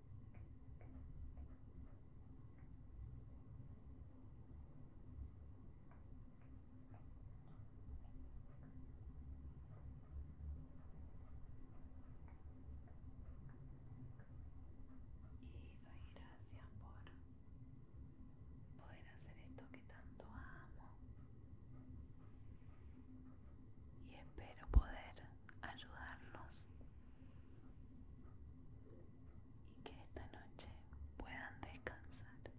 Y doy gracias por poder hacer esto que tanto amo. Y espero poder ayudarlos y que esta noche puedan descansar.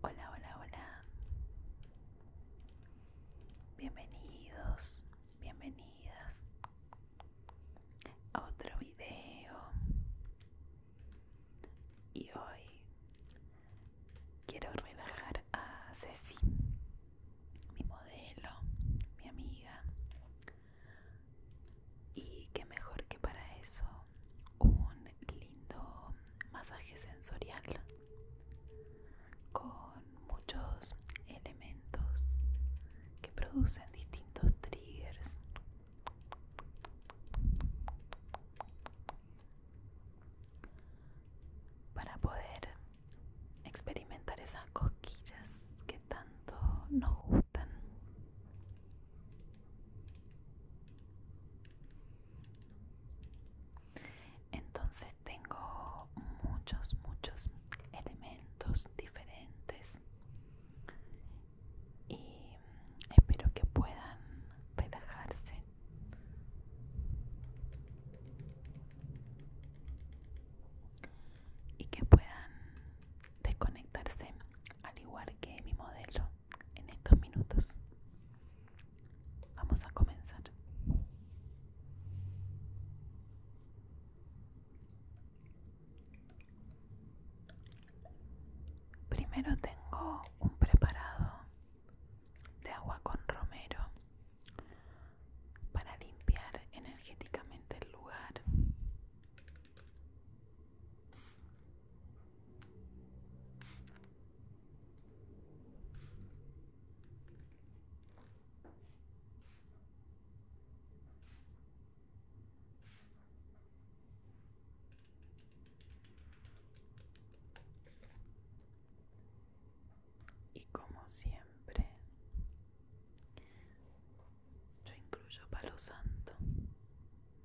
Hola, hola, hola. Bienvenidos, bienvenidas a otro video. Y hoy quiero relajar a Ceci, mi modelo, mi amiga, y qué mejor que para eso un lindo masaje sensorial con muchos elementos que producen distintos triggers. Para poder experimentar esas cosquillas que tanto nos gustan. Entonces tengo muchos, muchos elementos diferentes y espero que puedan relajarse y que puedan desconectarse al igual que mi modelo en estos minutos. Vamos a comenzar. Primero tengo un preparado de agua con romero para limpiar energéticamente el lugar. Y como siempre, yo incluyo palo santo,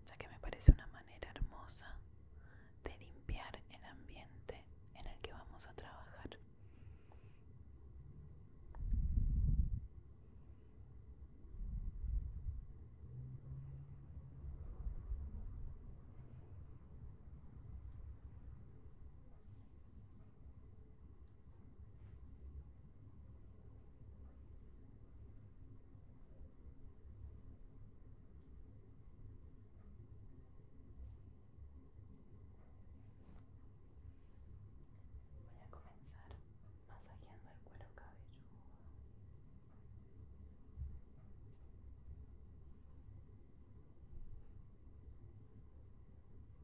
ya que me parece una manera hermosa de limpiar el ambiente en el que vamos a trabajar. Voy a comenzar masajeando el cuero cabelludo.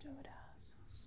Incluyo brazos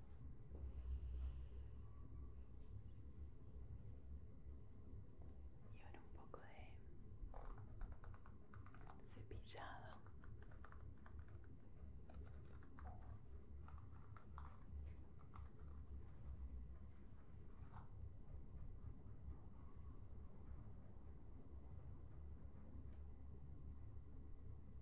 Y ahora un poco de cepillado.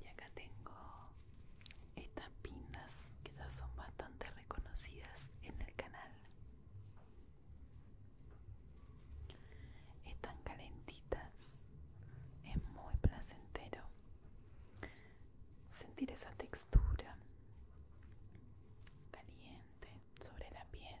Y acá tengo estas pinas que ya son bastante reconocidas en el canal. Están calentitas, es muy placentero sentir esa textura caliente sobre la piel.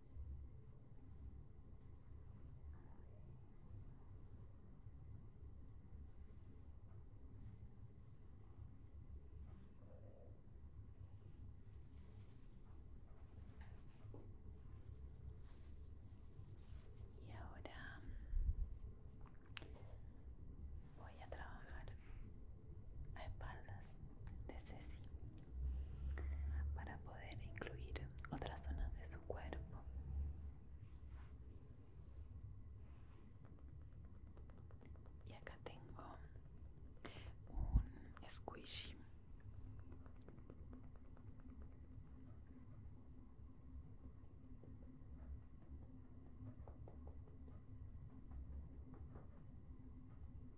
Y ahora voy a trabajar a espaldas de Ceci. para poder incluir otras zonas de su cuerpo. Y acá tengo un squishy.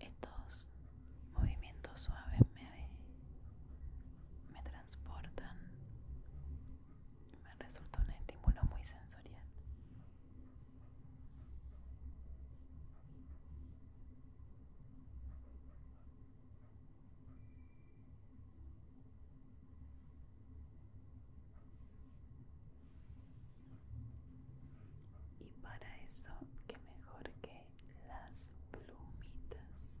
Estos movimientos suaves me, me transportan. Me resulta un estímulo muy sensorial. Y para eso, que mejor que las plumitas.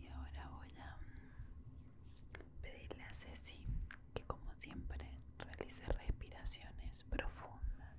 Y ahora voy a pedirle a Ceci que como siempre realice respiraciones profundas.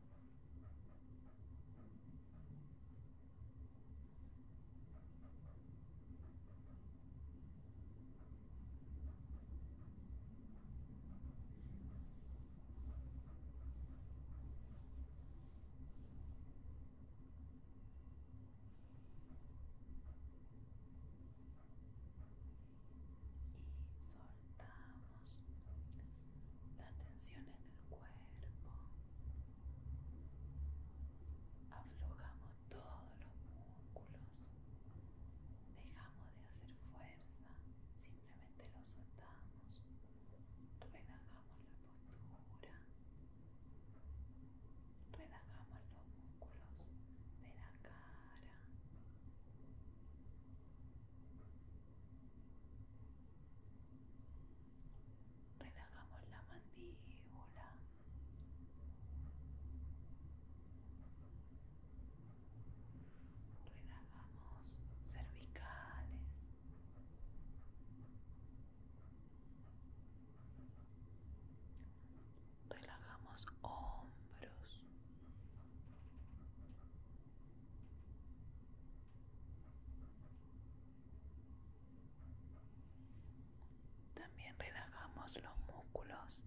y soltamos las tensiones del cuerpo. Aflojamos todos los músculos. Dejamos de hacer fuerza. Simplemente los soltamos. Relajamos la postura. Relajamos los músculos de la cara. Relajamos la mandíbula. Relajamos cervicales. Relajamos hombros. También relajamos los músculos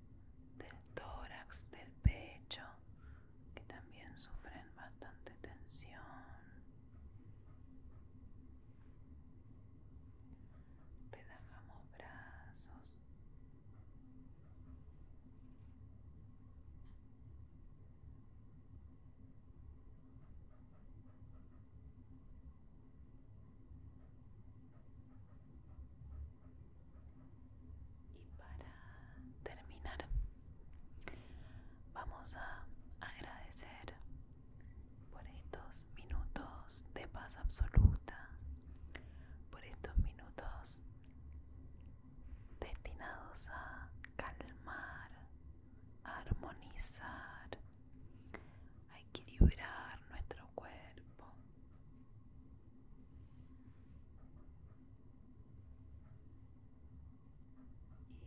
del tórax, del pecho, que también sufren bastante tensión. Relajamos brazos, y para terminar, vamos a agradecer por estos minutos de paz absoluta, por estos minutos destinados a calmar, a armonizar, a equilibrar nuestro cuerpo.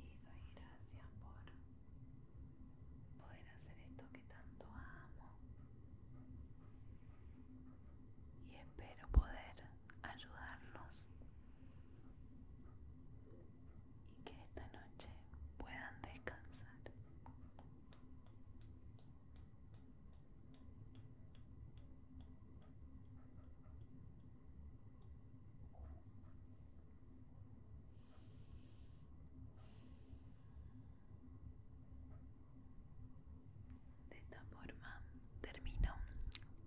Y doy gracias por poder hacer esto que tanto amo y espero poder ayudarlos y que esta noche puedan descansar de esta forma termino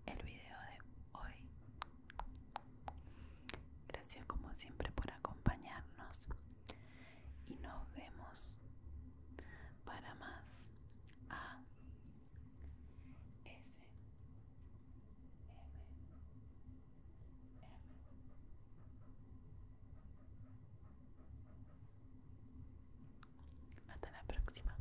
el video de hoy. Gracias como siempre por acompañarnos y nos vemos para más A S M hasta la próxima.